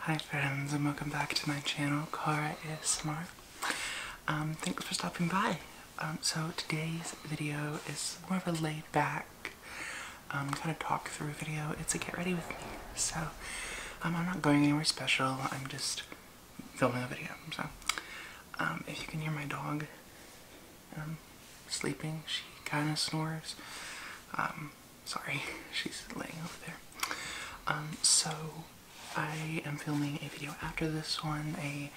Hi friends and welcome back to my channel, Kara is smart. Um, thanks for stopping by. Um, so today's video is more of a laid back um, kind of talk through video. It's a get ready with me. So I'm not going anywhere special. I'm just filming a video. So if you can hear my dog sleeping, she kind of snores. Sorry, she's laying over there. Um, so I am filming a video after this one, a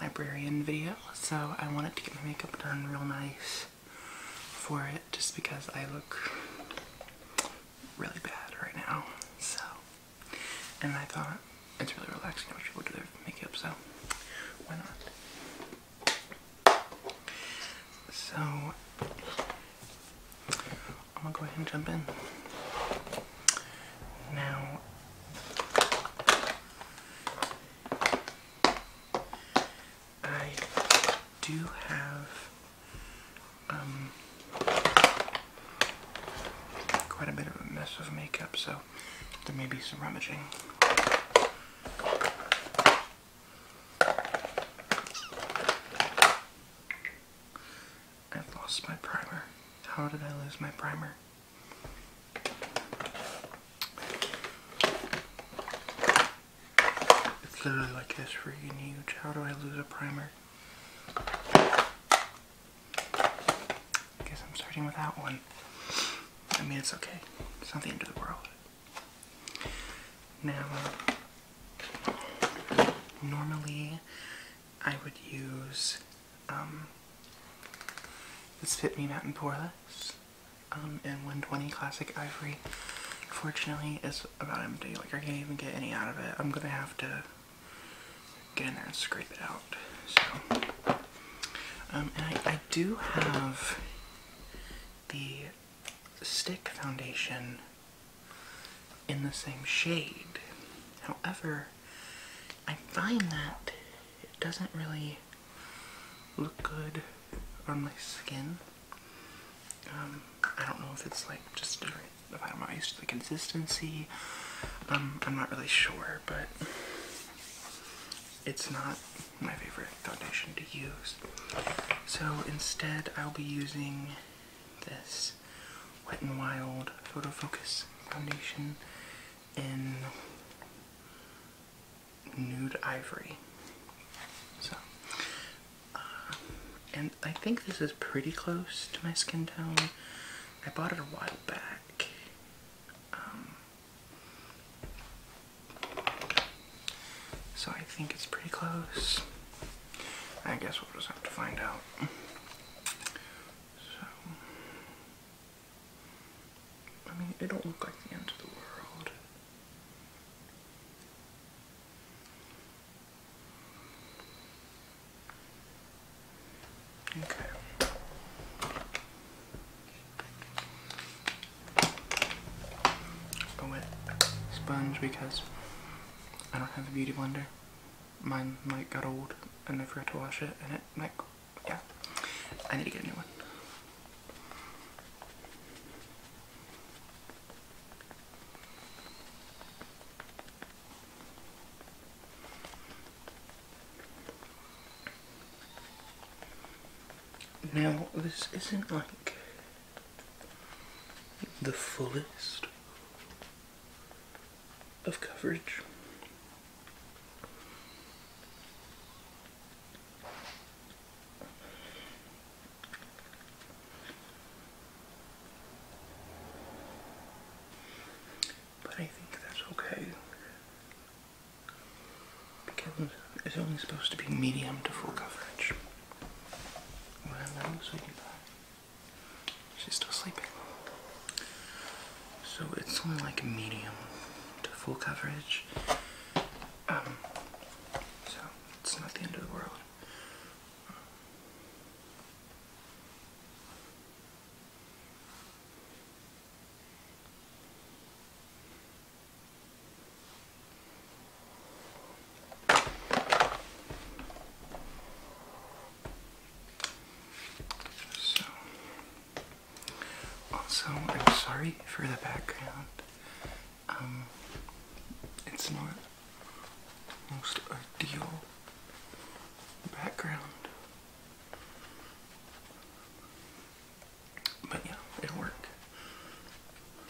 librarian video, so I wanted to get my makeup done real nice for it just because I look really bad right now. So, and I thought it's really relaxing to watch people do their makeup, so why not? So, I'm gonna go ahead and jump in. Now, I do have um, quite a bit of a mess of makeup, so there may be some rummaging. I've lost my primer. How did I lose my primer? It's literally like this freaking huge. How do I lose a primer? I guess I'm starting without one. I mean, it's okay. It's not the end of the world. Now, normally I would use um, this Fit Me Mountain Poreless um, and 120 Classic Ivory. Fortunately, it's about empty. Like, I can't even get any out of it. I'm gonna have to get in there and scrape it out. So, um, I do have the stick foundation in the same shade. However, I find that it doesn't really look good on my skin. Um, I don't know if it's like just different, if I'm not used to the consistency. Um, I'm not really sure, but it's not my favorite foundation to use. So instead, I'll be using this Wet n Wild Photo Focus Foundation in Nude Ivory. So, uh, and I think this is pretty close to my skin tone. I bought it a while back. Um, so I think it's pretty close. I guess we'll just have to find out. So, I mean, it don't look like the end of the world. Okay. go with sponge because I don't have a beauty blender. Mine like got old and I forgot to wash it and it like yeah. I need to get a new one. Now this isn't like the fullest of coverage. But I think that's okay because it's only supposed to be medium to full coverage. She's still sleeping. So it's only like medium to full coverage. Um, so it's not the end of the world. So, also, I'm sorry for the background. Um, it's not the most ideal background. But yeah, it'll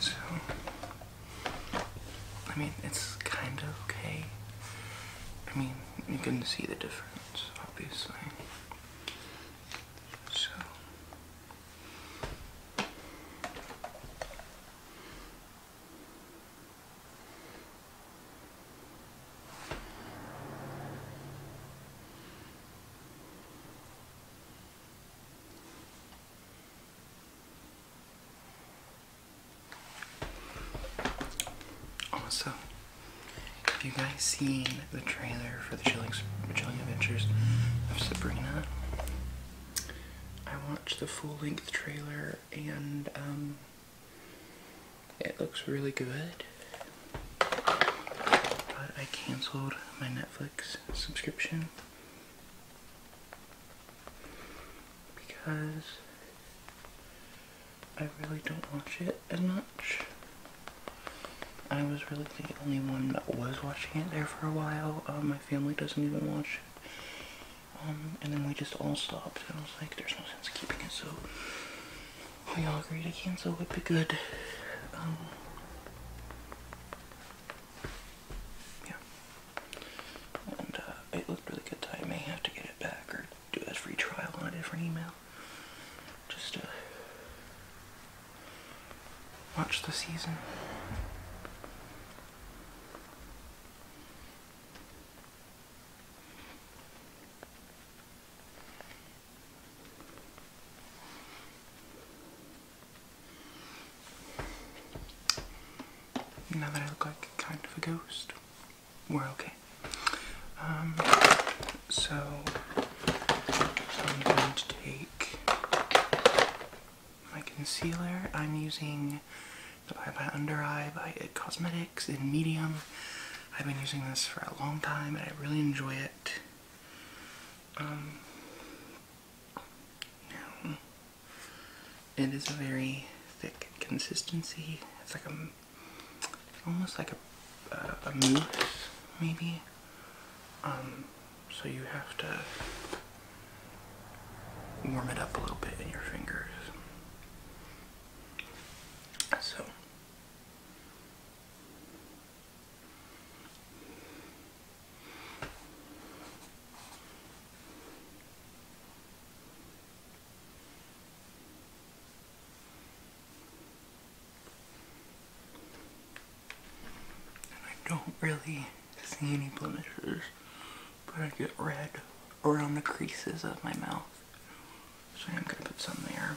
So, I mean, it's kind of okay. I mean, you can see the difference, obviously. So, also, have you guys seen the trailer for the Chilling, Adventures of Sabrina? I watched the full length trailer and um, it looks really good. But I canceled my Netflix subscription because I really don't watch it as much. I was really the only one that was watching it there for a while. Uh, my family doesn't even watch it. Um, and then we just all stopped, and I was like, there's no sense keeping it, so we all agree to cancel would be good. Um, yeah. And uh, it looked really good I may have to get it back or do a free on a different email. Just to watch the season. Now that I look like kind of a ghost, we're okay. Um, so, I'm going to take my concealer. I'm using the Bye Bye Under Eye by It Cosmetics. In medium. I've been using this for a long time and I really enjoy it. Um, it is a very thick consistency. It's like a, almost like a, uh, a mousse, maybe. Um, so you have to warm it up a little bit in your fingers. So, I don't really see any blemishes, but I get red around the creases of my mouth. So I'm going to put some there.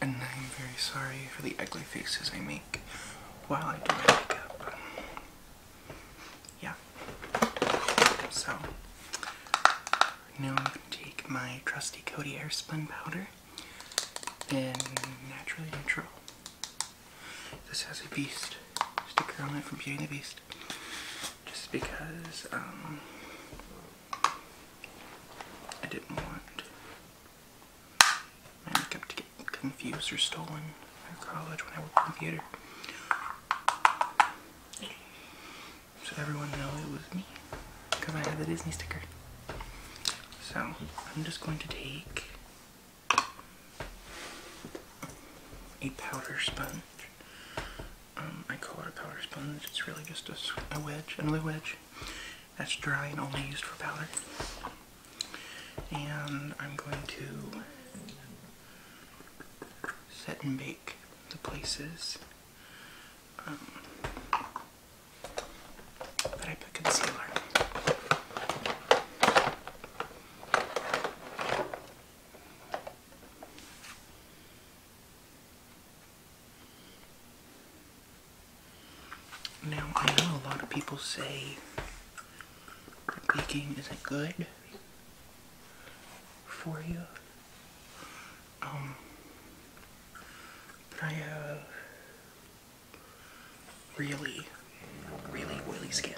And I'm very sorry for the ugly faces I make while I do my makeup yeah. So now I'm gonna take my trusty Cody Airspun powder and Naturally Natural. This has a beast sticker on it from Beauty and the Beast. Just because um, I didn't want my makeup to get confused or stolen at college when I worked computer. So everyone knows it was me. Because I had the Disney sticker. So I'm just going to take a powder sponge. Um, I call it a powder sponge. It's really just a wedge, another wedge that's dry and only used for powder. And I'm going to set and bake the places um, that I put concealer. Now, I know a lot of people say baking isn't good, for you. Um, I have uh, really, really oily skin.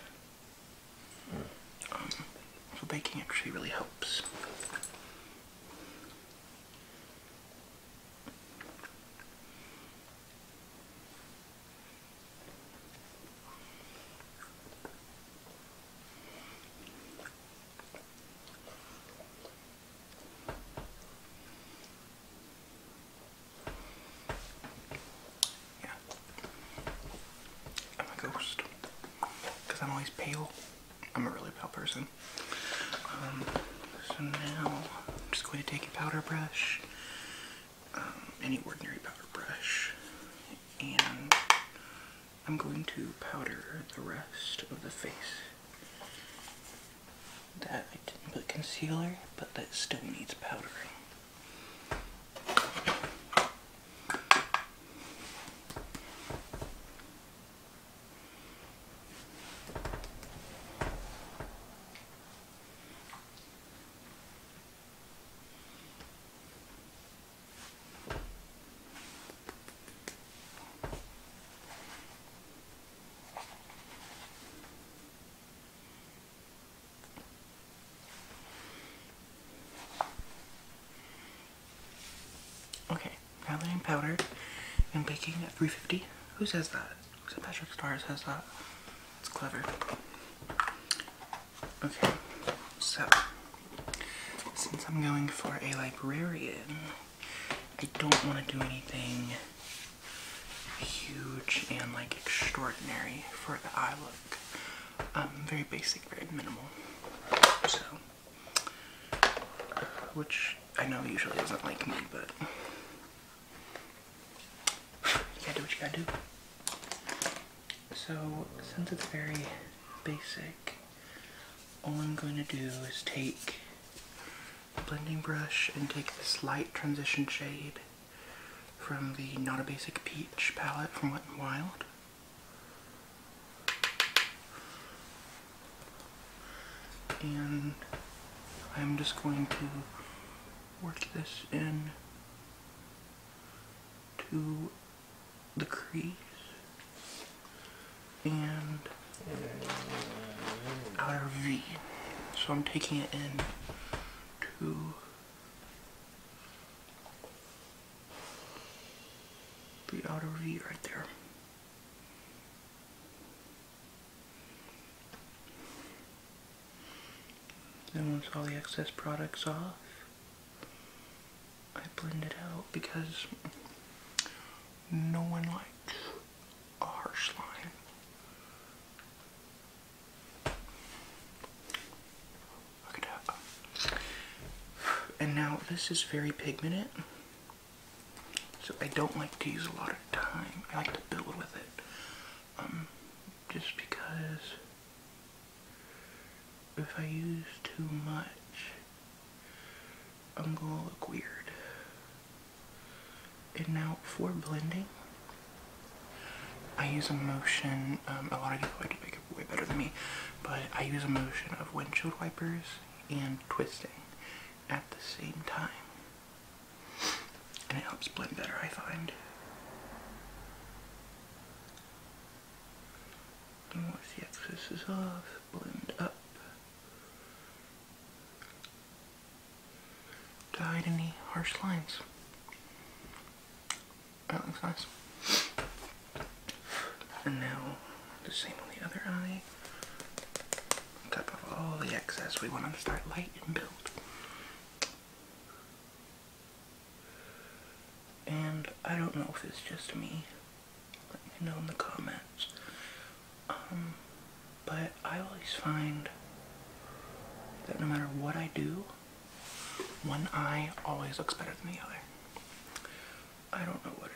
Um, so baking actually really helps. Yeah. I'm a ghost. Because I'm always pale. I'm a really pale person. Um, so now I'm just going to take a powder brush, um, any ordinary powder brush, and I'm going to powder the rest of the face. That I didn't put concealer, but that still needs powdering. Okay, now that I'm powdered and baking at 350, who says that? St. Patrick Star says that. It's clever. Okay, so since I'm going for a librarian, I don't want to do anything huge and like extraordinary for the eye look. Um, very basic, very minimal. So, which I know usually isn't like me, but you gotta do what you gotta do. So since it's very basic, all I'm going to do is take a blending brush and take this light transition shade from the Not a Basic Peach palette from Wet and Wild. And I'm just going to work this in to the crease and outer V. So I'm taking it in to the outer V right there. Then once all the excess product's off, I blend it out because no one likes a harsh line. Look it up. And now this is very pigmented. So I don't like to use a lot of time. I like to build with it. Um, just because if I use too much, I'm gonna look weird. And now for blending, I use a motion, um, a lot of people do makeup way better than me, but I use a motion of windshield wipers and twisting at the same time. And it helps blend better, I find. And once the excess is off, blend up. To hide any harsh lines. That looks nice. And now the same on the other eye. On top of all the excess, we want to start light and build. And I don't know if it's just me. Let me know in the comments. Um, but I always find that no matter what I do, one eye always looks better than the other. I don't know what it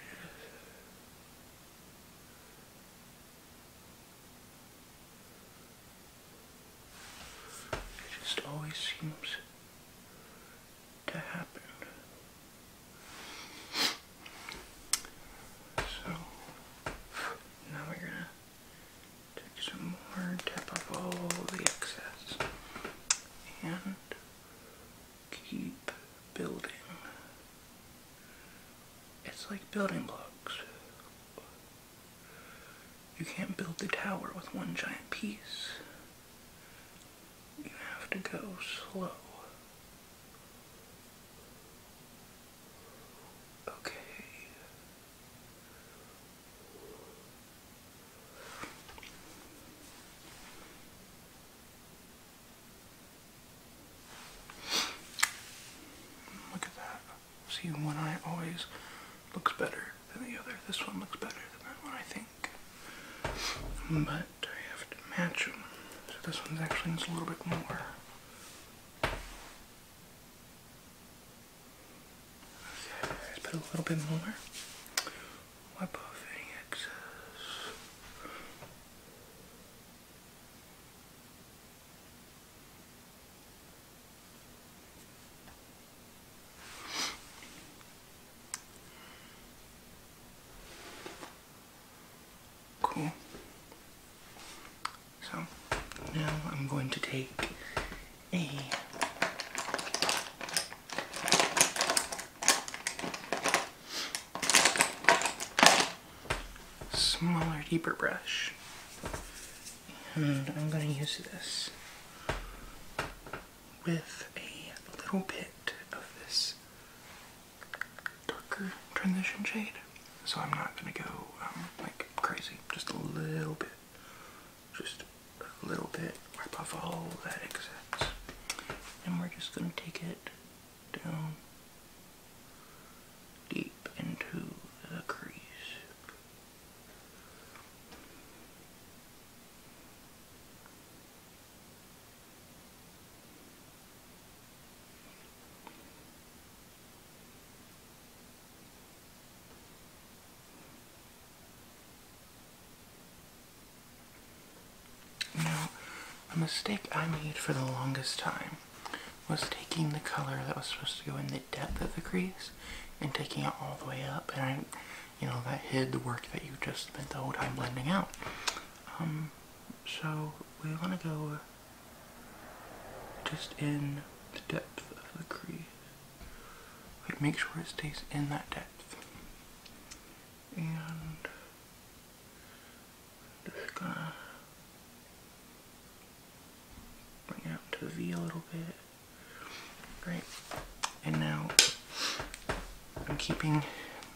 is. It just always seems to happen. So now we're going to take some more, tap up all the excess, and keep building. It's like building blocks. You can't build the tower with one giant piece. You have to go slow. Okay. Look at that. See, one eye always looks better than the other. This one looks better than that one, I think but I have to match them. So this one's actually needs a little bit more. Okay, let put a little bit more. Wipe off any excess. Cool. So now I'm going to take a smaller, deeper brush. And I'm going to use this with a little bit of this darker transition shade. So I'm not gonna go um, like crazy, just a little bit, just a little bit, wipe off all that excess. And we're just gonna take it down deep into the crease. Now, a mistake I made for the longest time was taking the color that was supposed to go in the depth of the crease and taking it all the way up, and I you know, that hid the work that you just spent the whole time blending out. Um, so we want to go uh, just in the depth of the crease. Like make sure it stays in that depth. And just gonna bring out up to V a little bit. Great. And now I'm keeping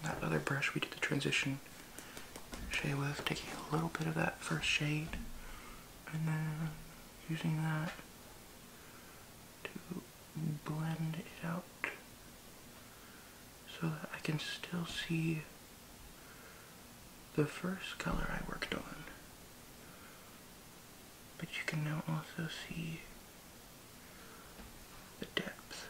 that other brush we did the transition shade with, taking a little bit of that first shade and then using that to blend it out so that I can still see the first color I worked on. But you can now also see the depth.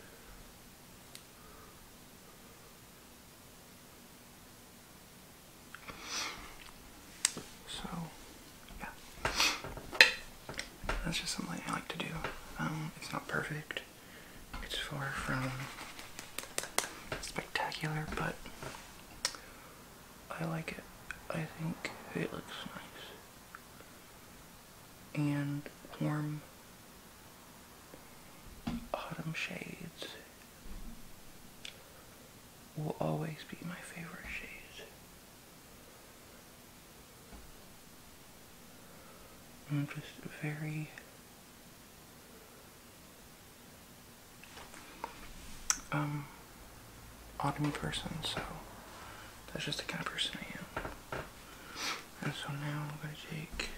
So, yeah. That's just something I like to do. Um, it's not perfect. It's far from spectacular, but I like it. I think it looks nice and warm autumn shades will always be my favorite shades. I'm just very um autumn person, so that's just the kind of person I am. And so now I'm gonna take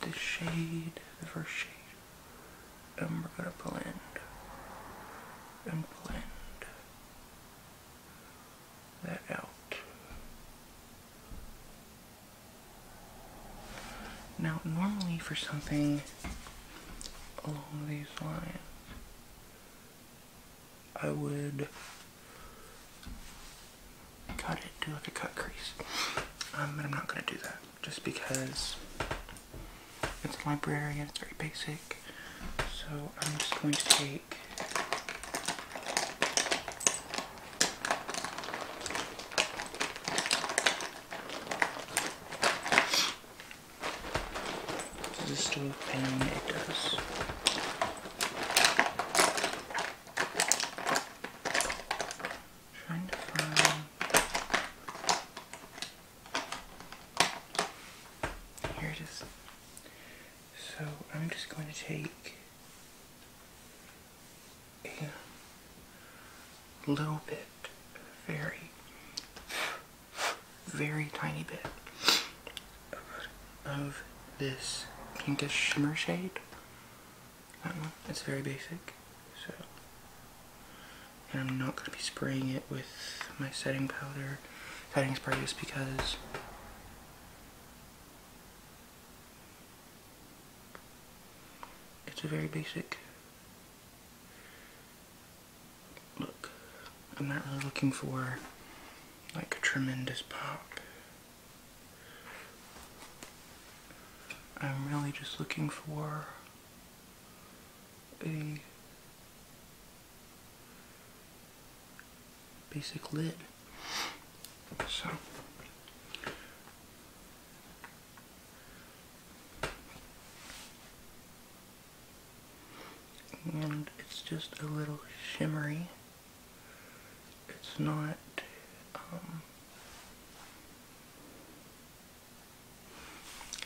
this shade, the first shade, and we're gonna blend and blend that out. Now normally for something along these lines I would cut it, do like a cut crease. Um, but I'm not going to do that just because it's a librarian, it's very basic. So I'm just going to take this is still a pain it does. Trying to find here it is. So I'm just going to take a little bit, very very tiny bit of this pinkish shimmer shade. That one. It's very basic. So, and I'm not going to be spraying it with my setting powder, setting spray just because it's a very basic Look, I'm not really looking for like a tremendous pop. I'm really just looking for a basic lid. So and it's just a little shimmery. It's not um,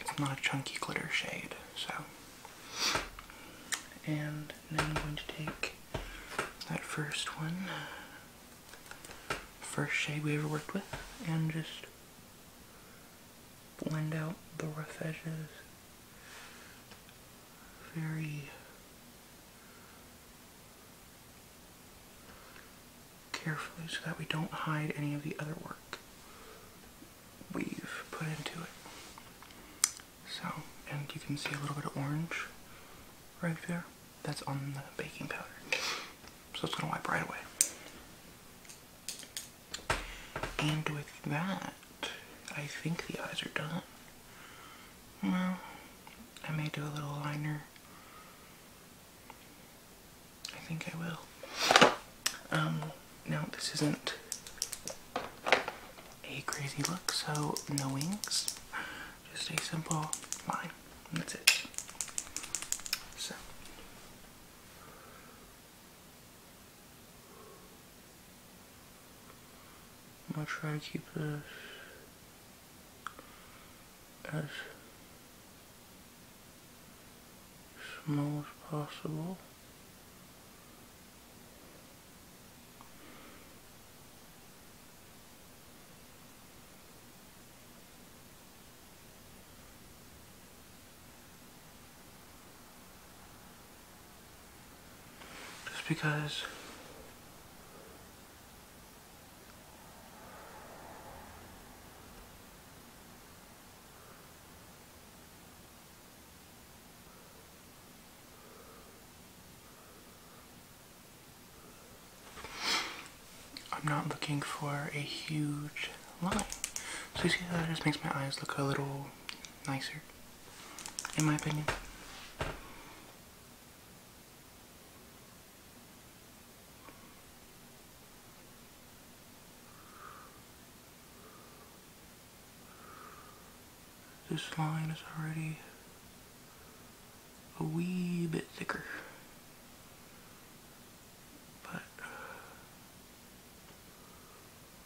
it's not a chunky glitter shade, so and now I'm going to take that first one, first shade we ever worked with, and just blend out the rough edges very carefully so that we don't hide any of the other work we've put into it. So, and you can see a little bit of orange right there. That's on the baking powder. So it's gonna wipe right away. And with that, I think the eyes are done. Well, I may do a little liner. I think I will. Um, now this isn't a crazy look, so no wings. Just a simple line. That's it. So I'll try to keep this as small as possible. Just because I'm not looking for a huge so you see that it just makes my eyes look a little nicer, in my opinion. This line is already a wee bit thicker. But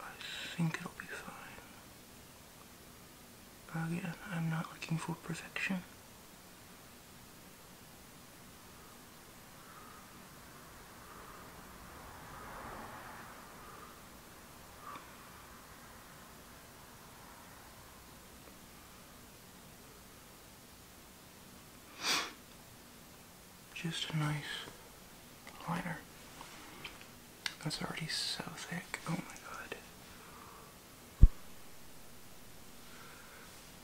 I think it'll be fine. Again, I'm not looking for perfection just a nice liner. That's already so thick. Oh my god.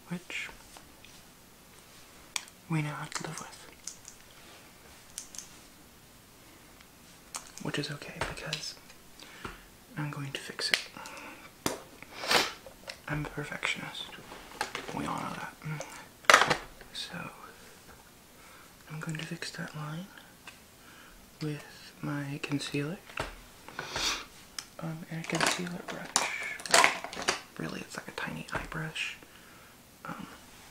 Which we know how to live with. Which is okay because I'm going to fix it. I'm a perfectionist. We all that. Mm. So I'm going to fix that line with my concealer. Um, a concealer brush. Really, it's like a tiny eye brush, um,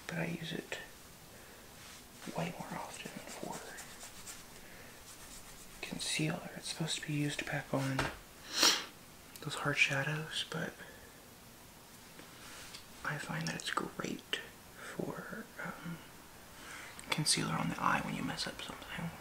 but I use it way more often for concealer. It's supposed to be used to pack on those hard shadows, but I find that it's great for um, concealer on the eye when you mess up something.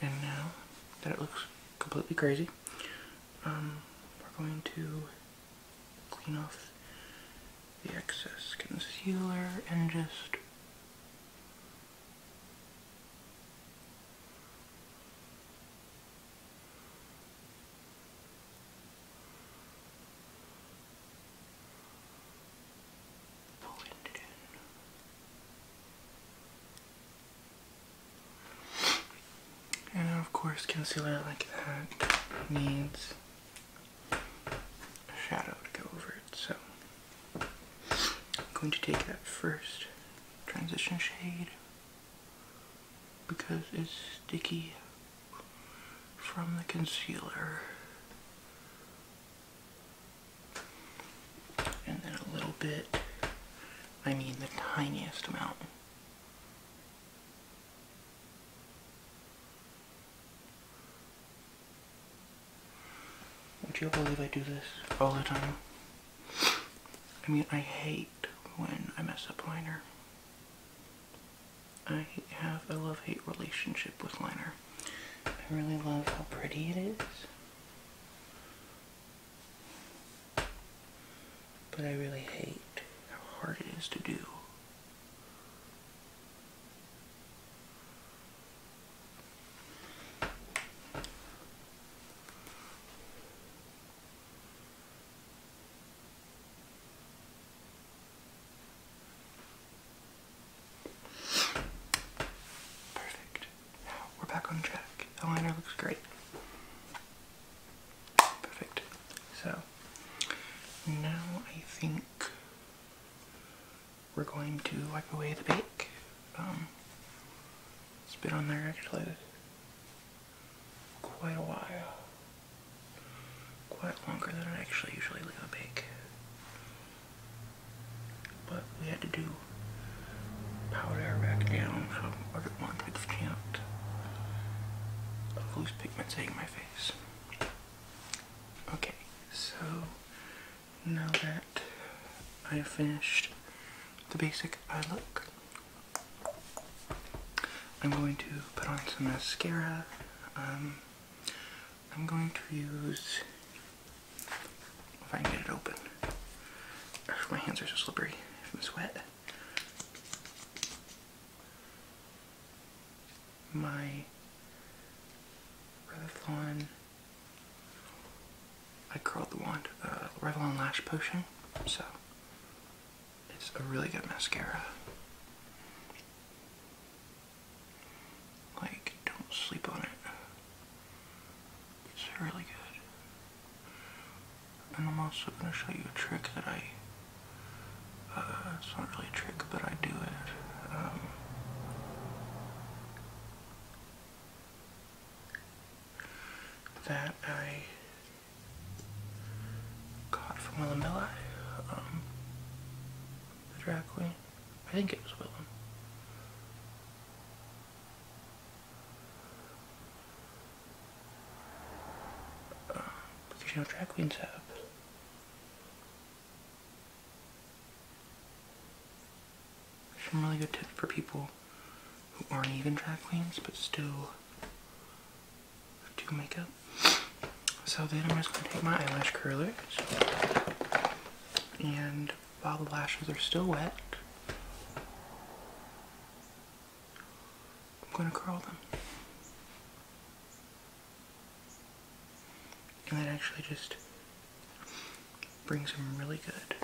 And now that looks completely crazy. Um, we're going to clean off the excess concealer and just pull it in. And of course concealer like that needs a shadow to go over it. So I'm going to take that first transition shade because it's sticky from the concealer and then a little bit, I mean the tiniest amount. Would you believe I do this all the time? I mean, I hate when I mess up liner. I have a love-hate relationship with liner. I really love how pretty it is. But I really hate how hard it is to do. Perfect. We're back on track. The liner looks great. Perfect. So now I think we're going to wipe away the bake. Spit um, on there actually quite a while. Quite longer than I actually usually leave a bake. But we had to do Powder back down I don't want to count of loose pigment taking my face. Okay, so now that I have finished the basic eye look, I'm going to put on some mascara. Um, I'm going to use if I can get it open. My hands are so slippery from sweat. My Revlon. I curled the wand. Uh, Revlon Lash Potion. So, it's a really good mascara. Like, don't sleep on it. It's really good. And I'm also going to show you a trick that I, uh, it's not really a trick, but I do it. Um, that I got from Willamella, um, the drag queen. I think it was Willem. Because you know, drag queens have Some really good tips for people who aren't even drag queens, but still do makeup. So then I'm just going to take my eyelash curlers and while the lashes are still wet. I'm going to curl them. And that actually just brings them really good.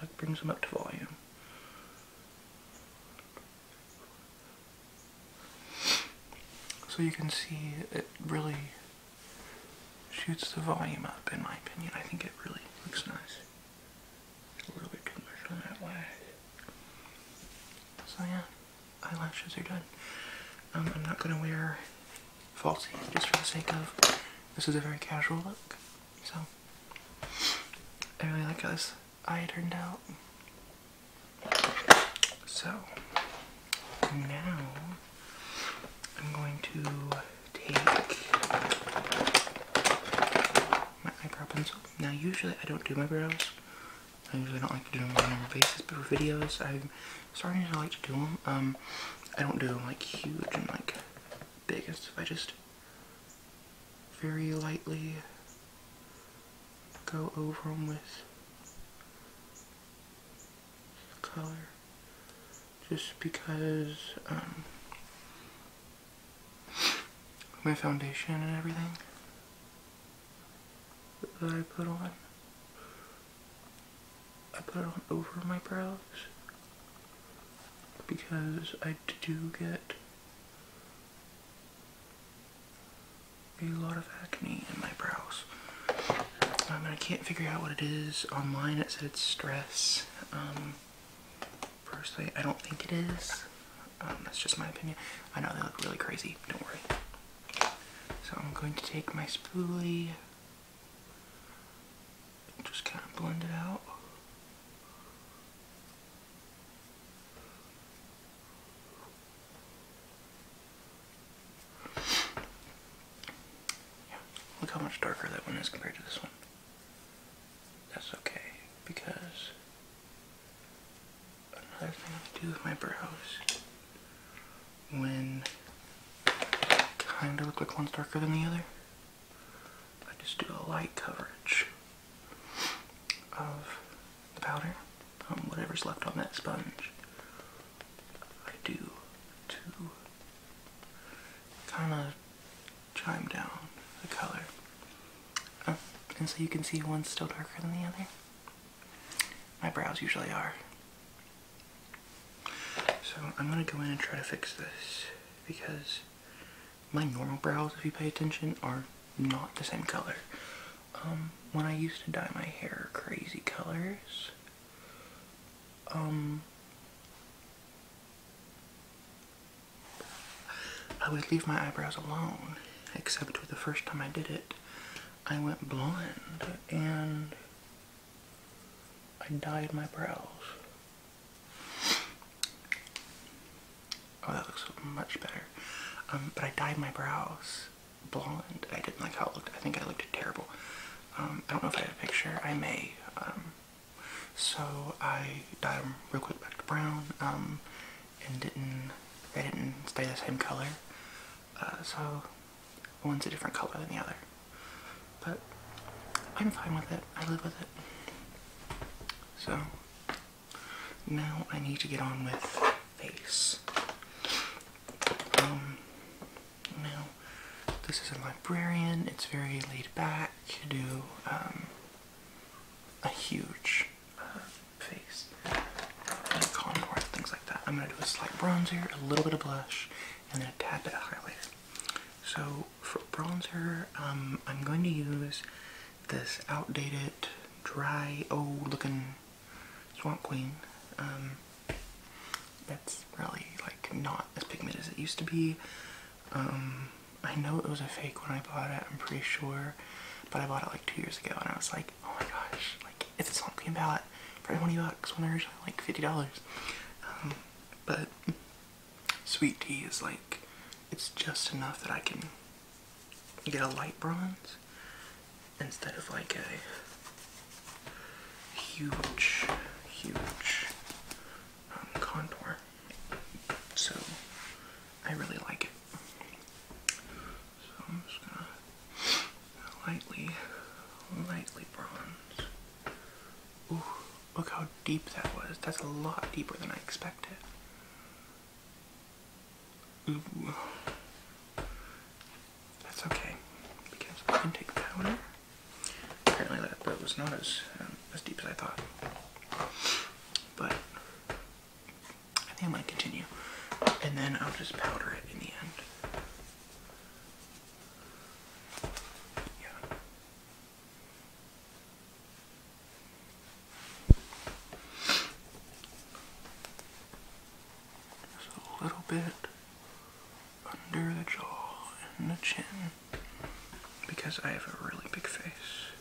That brings them up to volume. So you can see it really shoots the volume up in my opinion. I think it really looks nice. A little bit too much on that lash. So yeah, eyelashes are done. Um, I'm not going to wear falsies just for the sake of this is a very casual look. So, I really like how this eye turned out. So, now I'm going to take my eyebrow pencil. Now, usually I don't do my brows. I usually don't like to do them on a normal basis, but for videos, I'm starting to like to do them. Um, I don't do them like huge and like big and stuff. I just very lightly go over them with color just because um, my foundation and everything that I put on. I put it on over my brows because I do get a lot of acne in my brows. Um, I can't figure out what it is. Online it said stress. Um, Personally, I don't think it is. Um, that's just my opinion. I know they look really crazy, don't worry. So I'm going to take my spoolie just kind of blend it out. Yeah, look how much darker that one is compared to this one. That's okay because another thing I do with my brows when they kinda look like one's darker than the other, I just do a light coverage of the powder on whatever's left on that sponge. I do to kind of chime down the color. Oh, and so you can see one's still darker than the other. My brows usually are. So I'm going to go in and try to fix this because my normal brows, if you pay attention, are not the same color. Um, when I used to dye my hair crazy colors, um, I would leave my eyebrows alone, except for the first time I did it, I went blonde and I dyed my brows. Oh, that looks much better. Um, but I dyed my brows blonde. I didn't like how it looked. I think I looked terrible. Um, I don't know if I have a picture. I may. Um, so I dyed them real quick back to brown, um, and didn't, they didn't stay the same color. Uh, so one's a different color than the other. But I'm fine with it. I live with it. So now I need to get on with face. Um, now this is a librarian. It's very laid back to do um, a huge uh, face contour things like that. I'm going to do a slight bronzer, a little bit of blush, and then a tad bit of highlighter. So for bronzer, um, I'm going to use this outdated, dry, old looking Swamp Queen. Um, that's really like not as pigmented as it used to be. Um, I know it was a fake when I bought it, I'm pretty sure, but I bought it like two years ago and I was like, oh my gosh, like it's on green ballot, probably 20 bucks when originally like $50. Um, but sweet tea is like, it's just enough that I can get a light bronze instead of like a huge, huge contour. So I really like it. So I'm just gonna lightly, lightly bronze. Ooh, look how deep that was. That's a lot deeper than I expected. Ooh. That's okay, because I can take powder Apparently that, was not as, um, as deep as I thought. But I think I'm continue. And then I'll just powder it in the end. Yeah. Just a little bit under the jaw and the chin because I have a really big face.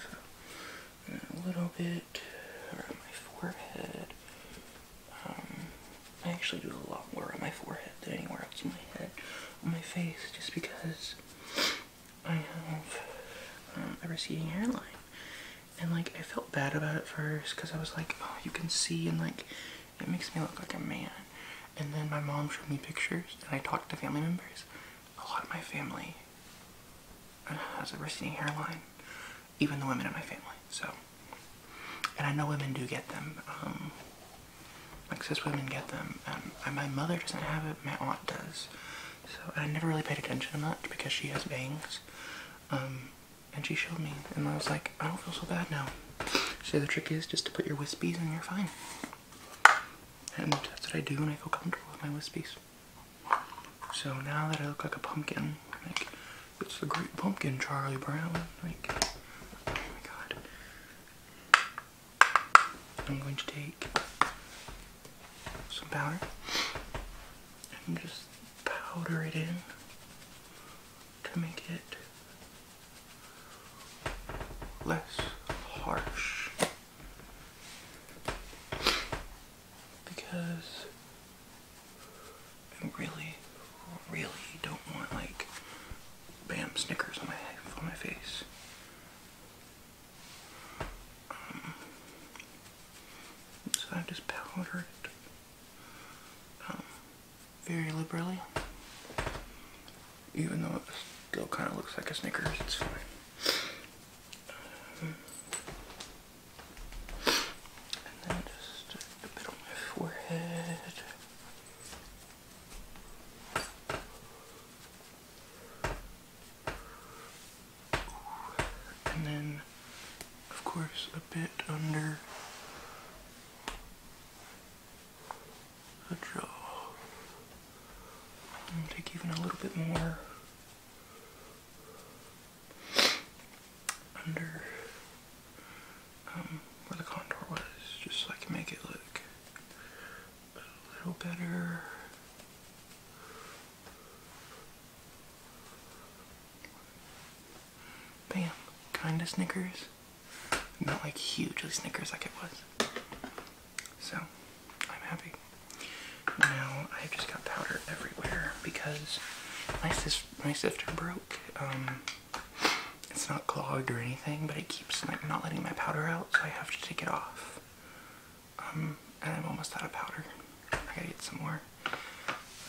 So, a little bit around my forehead. Um, I actually do a lot more on my forehead than anywhere else on my head, on my face, just because I have um, a receding hairline. And like, I felt bad about it first because I was like, oh, you can see, and like, it makes me look like a man. And then my mom showed me pictures, and I talked to family members. A lot of my family uh, has a receding hairline, even the women in my family. So, and I know women do get them. Um, like cis women get them. Um, my mother doesn't have it. My aunt does. So I never really paid attention to that because she has bangs. Um, and she showed me, and I was like, I don't feel so bad now. So the trick is just to put your wispies and you're fine. And that's what I do when I feel comfortable with my wispies. So now that I look like a pumpkin, like, it's a great pumpkin, Charlie Brown, like, oh my god. I'm going to take some powder and just powder it in to make it less harsh because I really, really don't want like bam Snickers on my face. Um, so I just powdered it. Um, very liberally. Even though it still kind of looks like a Snickers, it's fine. And then just a bit on my forehead. And then, of course, a bit under a jaw. And take even a little bit more under um, where the contour was, just so I can make it look a little better. Bam, kinda Snickers. Not like hugely Snickers like it was. So, I'm happy. Now, I've just got powder everywhere because my, sifter broke. Um, it's not clogged or anything, but it keeps like not letting my powder out, so I have to take it off. Um, and I'm almost out of powder. I gotta get some more.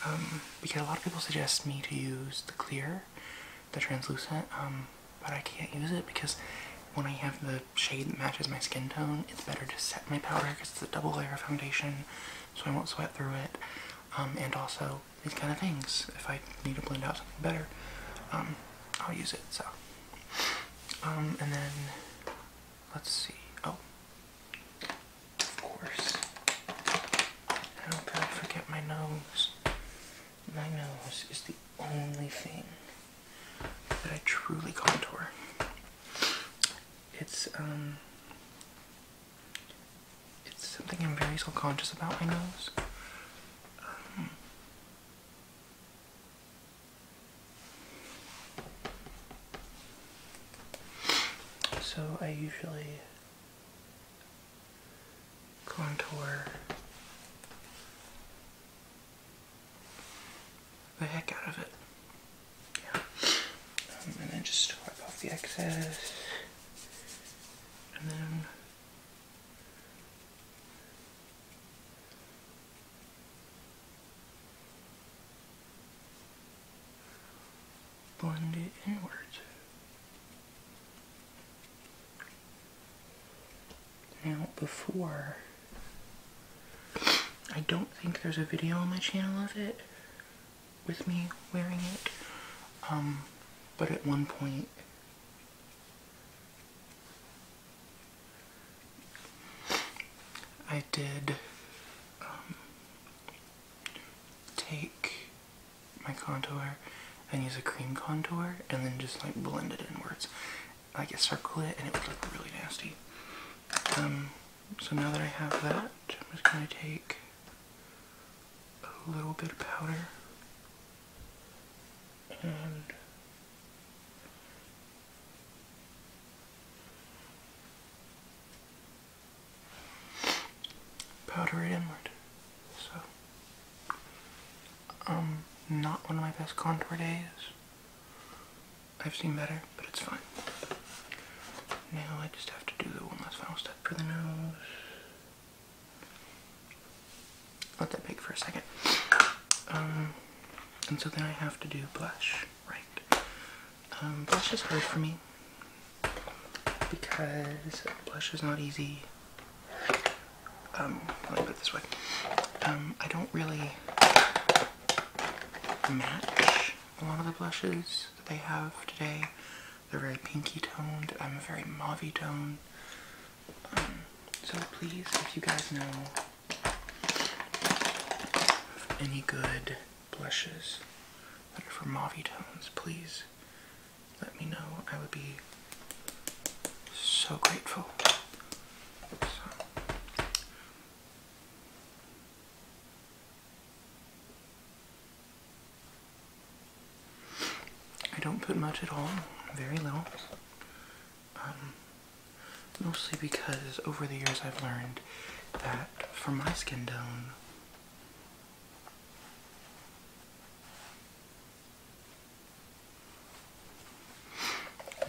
Um, because a lot of people suggest me to use the clear the translucent, um, but I can't use it because when I have the shade that matches my skin tone, it's better to set my powder because it's a double layer foundation, so I won't sweat through it. Um, and also these kind of things. If I need to blend out something better, um, I'll use it. So, and then let's see. Oh, of course. How could I forget my nose? My nose is the only thing that I truly contour. It's um it's something I'm very self-conscious about my nose. Um, so I usually contour the heck out of it. Yeah. and then just wipe off the excess. And then blend it inwards. Now, before, I don't think there's a video on my channel of it, with me wearing it, um, but at one point, I did um, take my contour and use a cream contour and then just like blend it inwards. Like I circle it and it would look really nasty. Um, so now that I have that, I'm just going to take a little bit of powder and powder it inward. So um, not one of my best contour days. I've seen better, but it's fine. Now I just have to do the one last final step for the nose. Let that bake for a second. Um, and so then I have to do blush, right? Um, blush is hard for me because blush is not easy. Um, let me put this way. Um, I don't really match a lot of the blushes that they have today. They're very pinky toned. I'm a very mauvey tone. Um, so please, if you guys know any good blushes that are for mauvey tones, please let me know. I would be so grateful. I don't put much at all, very little. Um, mostly because over the years I've learned that for my skin tone,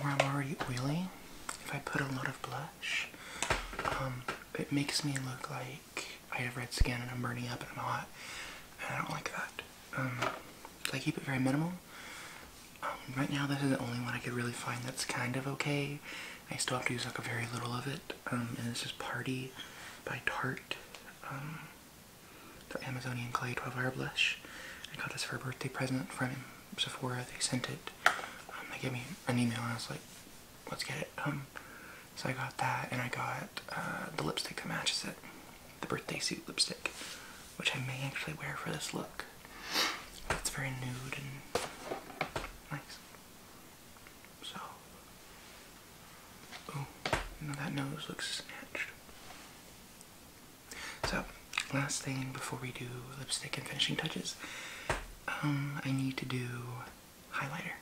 where I'm already oily, if I put a lot of blush, um, it makes me look like I have red skin and I'm burning up and I'm hot, and I don't like that. Um, I keep it very minimal. Um, right now, this is the only one I could really find that's kind of okay. I still have to use like a very little of it, um, and this is Party by Tarte. Um, the Amazonian Clay 12 Hour Blush. I got this for a birthday present from Sephora. They sent it. Um, they gave me an email and I was like, let's get it. Um, so I got that and I got uh, the lipstick that matches it. The birthday suit lipstick. Which I may actually wear for this look. It's very nude and nice. So, oh, that nose looks snatched. So, last thing before we do lipstick and finishing touches, um, I need to do highlighter.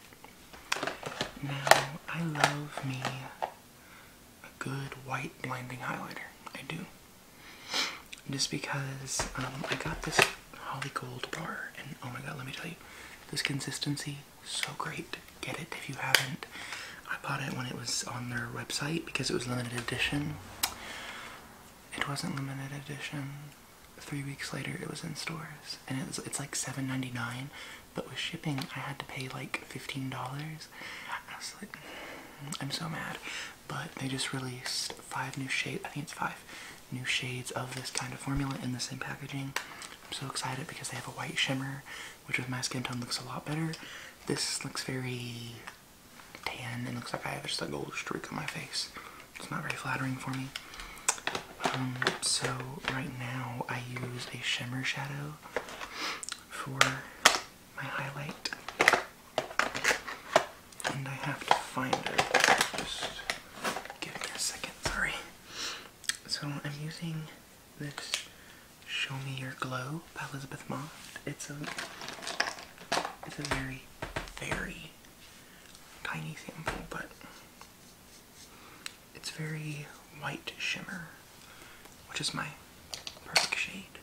Now, I love me a good white blinding highlighter. I do. Just because um, I got this Holly Gold bar, and oh my god, let me tell you, this consistency so great. Get it if you haven't. I bought it when it was on their website because it was limited edition. It wasn't limited edition. Three weeks later, it was in stores, and it it's like $7.99, but with shipping, I had to pay like $15. I was like, mm, I'm so mad. But they just released five new shades, I think it's five new shades of this kind of formula in the same packaging. I'm so excited because they have a white shimmer, which with my skin tone looks a lot better. This looks very tan and looks like I have just a gold streak on my face. It's not very flattering for me. Um, so right now I use a shimmer shadow for my highlight. And I have to find it. Just give me a second, sorry. So I'm using this Show Me Your Glow by Elizabeth Mott. It's a it's a very, very tiny sample, but it's very white shimmer, which is my perfect shade.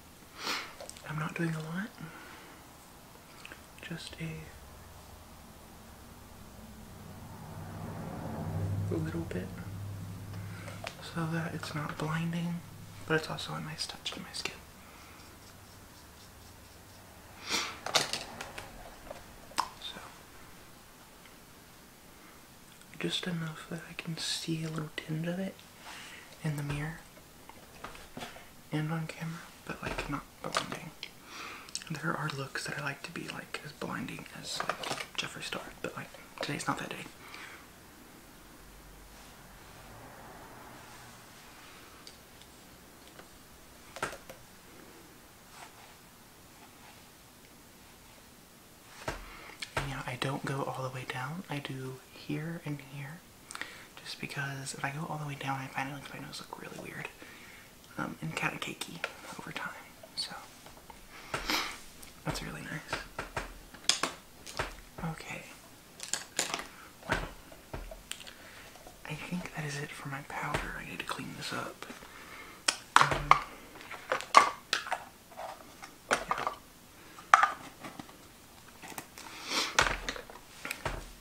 I'm not doing a lot. Just a a little bit so that it's not blinding, but it's also a nice touch to my skin. So, just enough that I can see a little tinge of it in the mirror and on camera, but like not blinding. There are looks that I like to be like as blinding as like Jeffree Star, but like today's not that day. yeah, I don't go all the way down. I do here and here. Just because if I go all the way down, I find it makes my nose look really weird. Um, and katakeki over time. So that's really nice. Okay. Well, I think that is it for my powder. I need to clean this up. Um,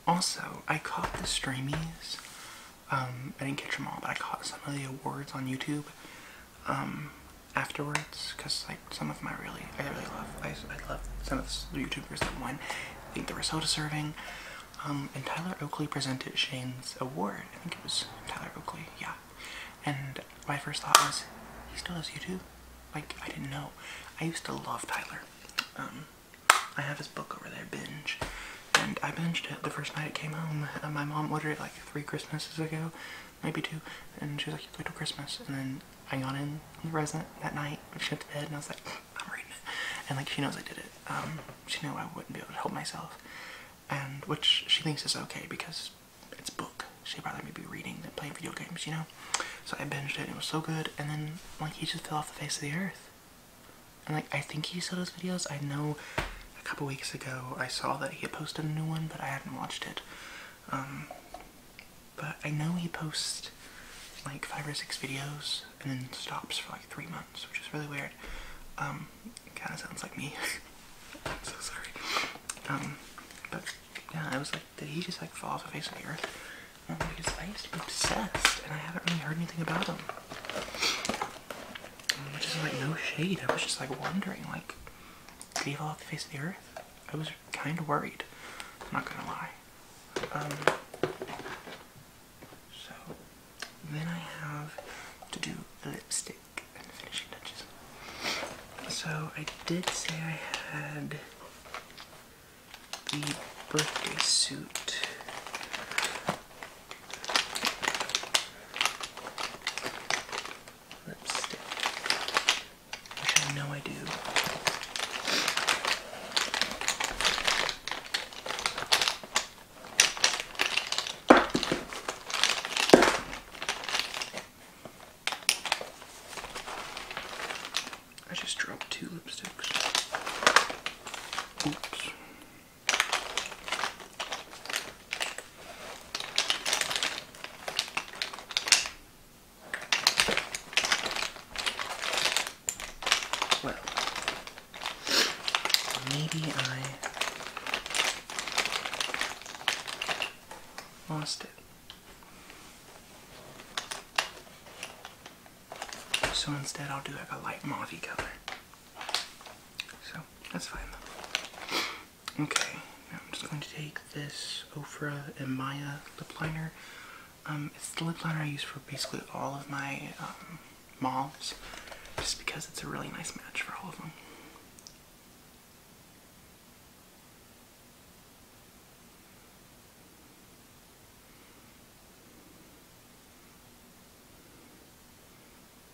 also, I caught the Streamies um, I didn't catch them all, but I caught some of the awards on YouTube um, afterwards because like some of them I really, I really love. I, I love some of the YouTubers that won. I think the soda serving. Um, and Tyler Oakley presented Shane's award. I think it was Tyler Oakley, yeah. And my first thought was, he still has YouTube? Like, I didn't know. I used to love Tyler. I have his book over there, Binge and I binged it the first night it came home. my mom ordered it like three Christmases ago, maybe two, and she's like, wait till Christmas. And then I got in the resident that night, she went to bed, and I was like, I'm reading it. And like, she knows I did it. Um, she knew I wouldn't be able to help myself. And which she thinks is okay because it's book. She'd rather me be reading than playing video games, you know? So I binged it, it was so good, and then like, he just fell off the face of the earth like, I think he saw those videos. I know a couple weeks ago I saw that he had posted a new one, but I hadn't watched it. Um, but I know he posts like five or six videos and then stops for like three months, which is really weird. Um, kind of sounds like me. I'm so sorry. Um, but yeah, I was like, did he just like fall off the face of the earth? Um, because I used to be obsessed, and I haven't really heard anything about him which is like no shade. I was just like wondering, like, do he fall the face of the earth? I was kind of worried. I'm not gonna lie. Um, so then I have to do lipstick and finishing touches. So I did say I had the birthday suit. Lipstick. I know I do. I just dropped two lipsticks. Oops. Well, maybe I lost it. So instead, I'll do like a light mauve color. So that's fine though. Okay, now I'm just going to take this Ofra and Maya lip liner. Um, it's the lip liner I use for basically all of my um, just because it's a really nice match for all of them.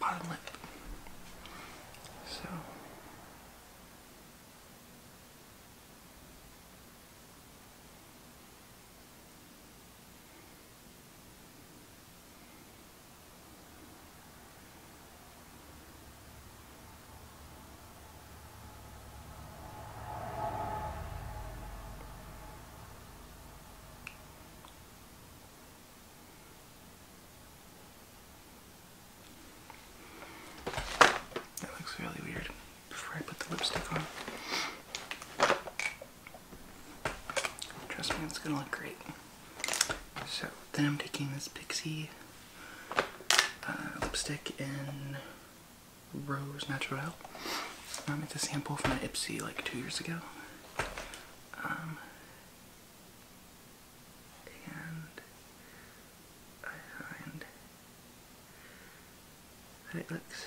bottom lip. So. That looks really weird before I put the lipstick on. Trust me, it's gonna look great. So, then I'm taking this Pixie uh, lipstick in Rose Naturelle. Um, it's a sample from an Ipsy like two years ago. Um, and I find that it looks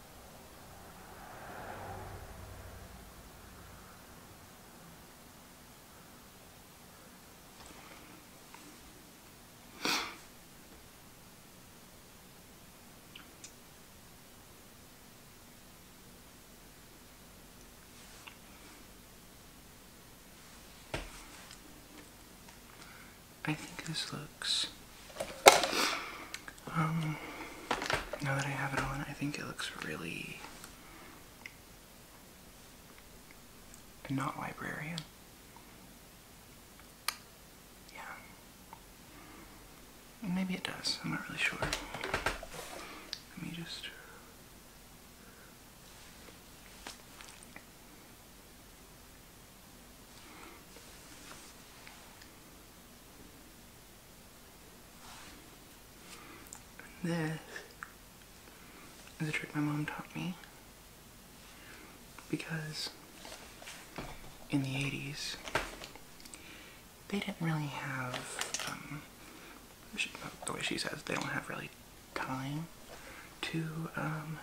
I think this looks um, now that I have it on, I think it looks really not librarian. Yeah. Maybe it does. I'm not really sure. Let me just this is a trick my mom taught me because in the 80s they didn't really have, um, the way she says, they don't have really time to um,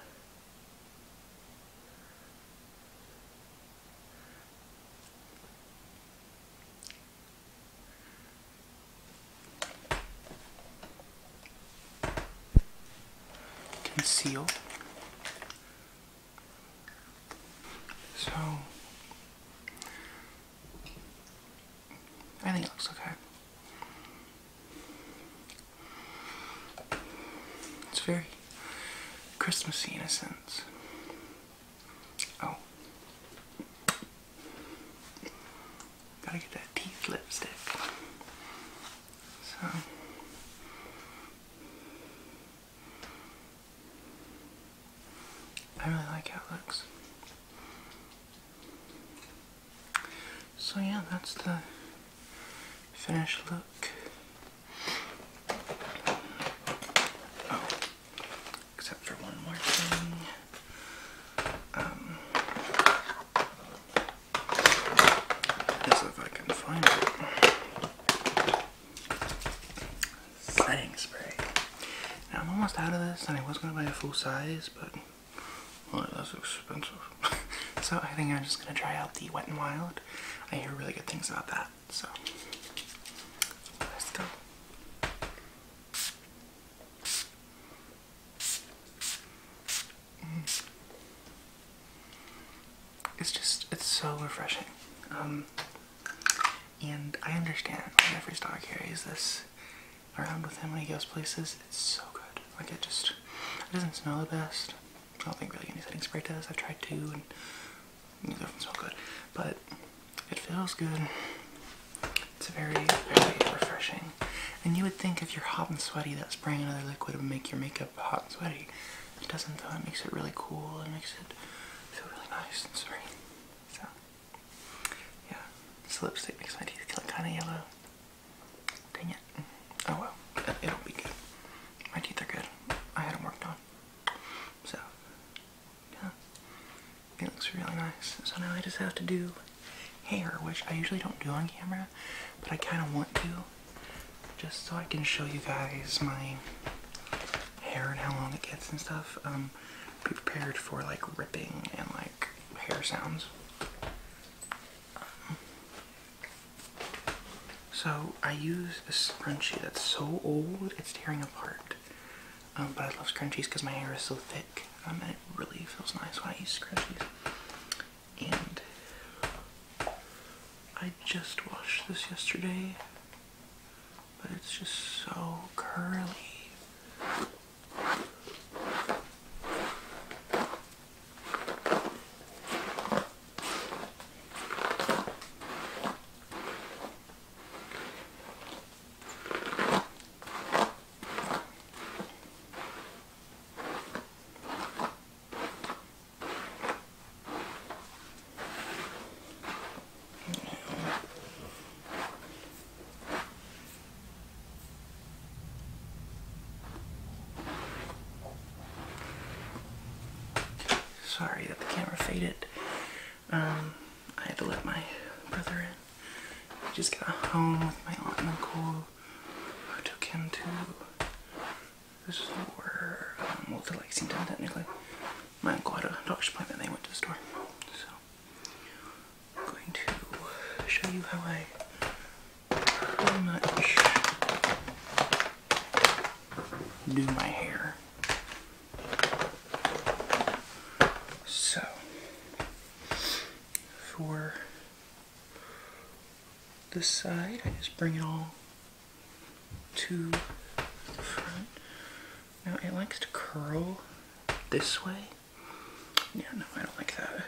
Conceal. So I think it looks okay. It's very Christmassy in a sense. Oh. Gotta get that teeth lipstick. So. I really like how it looks. So yeah, that's the finished look. Oh except for one more thing. Um, is if I can find it. Setting spray. Now I'm almost out of this, and I was gonna buy a full size, but that's expensive. so I think I'm just gonna try out the Wet n Wild. I hear really good things about that. So let's go. Mm. It's just, it's so refreshing. Um, and I understand every Star carries this around with him when he goes places. It's so good. Like, it just, it doesn't smell the best. I don't think really any setting spray does. I've tried two, and Neither of them's so good, but it feels good. It's very, very refreshing. And you would think if you're hot and sweaty that spraying another liquid would make your makeup hot and sweaty. It doesn't though, it makes it really cool, it makes it feel really nice and serene. So, yeah. This lipstick makes my teeth look kinda yellow. Dang it. Oh well, it'll be good. My teeth are good. I had them worked on. So, it looks really nice. So now I just have to do hair, which I usually don't do on camera, but I kind of want to just so I can show you guys my hair and how long it gets and stuff. Um, be prepared for like ripping and like hair sounds. so I use this scrunchie that's so old it's tearing apart. Um, but I love scrunchies because my hair is so thick um, and it really feels nice when I use scrunchies. And I just washed this yesterday, but it's just so curly. Sorry that the camera faded. Um, I had to let my brother in. He just got home with my aunt and uncle who took him to the store, um, well, to technically. My uncle had a doctor's appointment they went to the store. So, I'm going to show you how I pretty much do my hair. So, for this side, I just bring it all to the front. Now, it likes to curl this way. Yeah, no, I don't like that.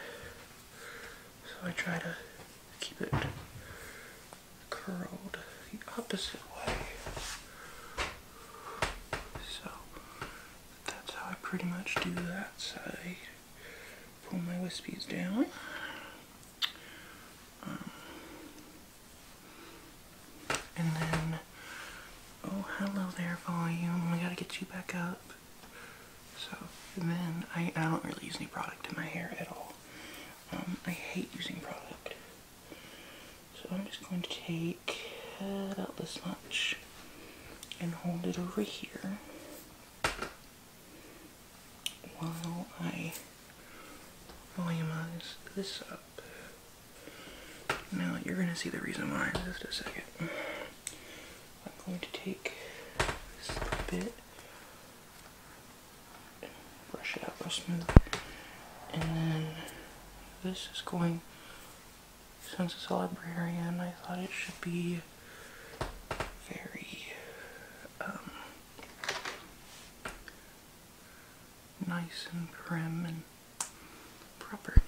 So I try to keep it curled the opposite way. So that's how I pretty much do that side. Pull my wispies down. Um, and then, oh, hello there, volume. I gotta get you back up. So then, I, I don't really use any product in my hair at all. Um, I hate using product. So I'm just going to take uh, about this much and hold it over here while I volumize this up. Now you're going to see the reason why in just a second. I'm going to take this bit brush it out real smooth. And then this is going, since it's a librarian, I thought it should be very um, nice and prim and proper.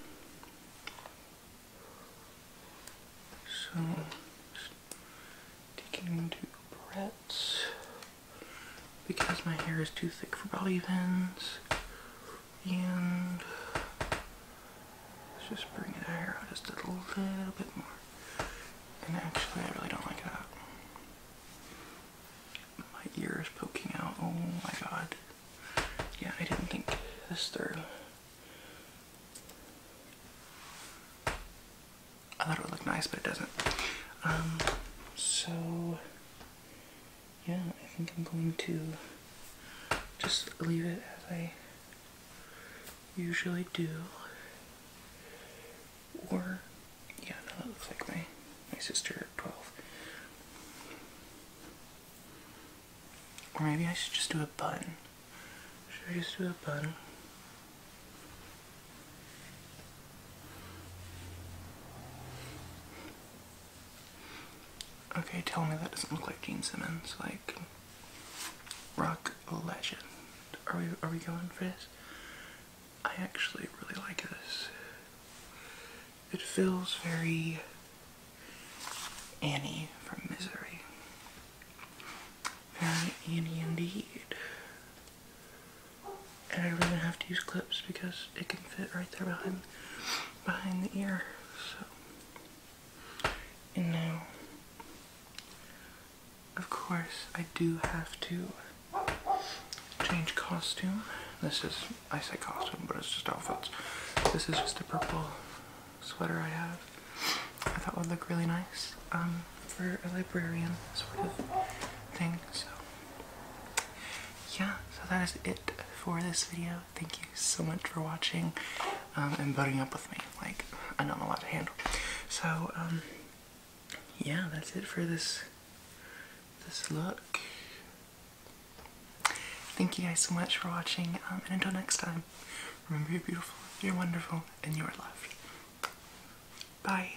So, just taking into breath because my hair is too thick for bobby pins and let's just bring it out just a little bit more and actually I really don't like that my ear is poking out oh my god yeah I didn't think this through I thought it would look nice but it doesn't um so yeah, I think I'm going to just leave it as I usually do. Or, yeah, that looks like my, my sister 12. Or maybe I should just do a bun. Should I just do a bun? Okay, tell me that doesn't look like Gene Simmons, like rock legend. Are we are we going for this? I actually really like this. It feels very Annie from Misery. Very Annie indeed and I really have to use clips because it can fit right there behind behind the ear. So and now of course I do have to change costume. This is I say costume but it's just outfits. This is just a purple sweater I have. I thought would look really nice um, for a librarian sort of thing. So yeah, so that is it for this video. Thank you so much for watching um, and voting up with me. Like, I don't know what to handle. So, um, yeah, that's it for this this look. Thank you guys so much for watching, um, and until next time, remember you're beautiful, you're wonderful, and you are loved. Bye.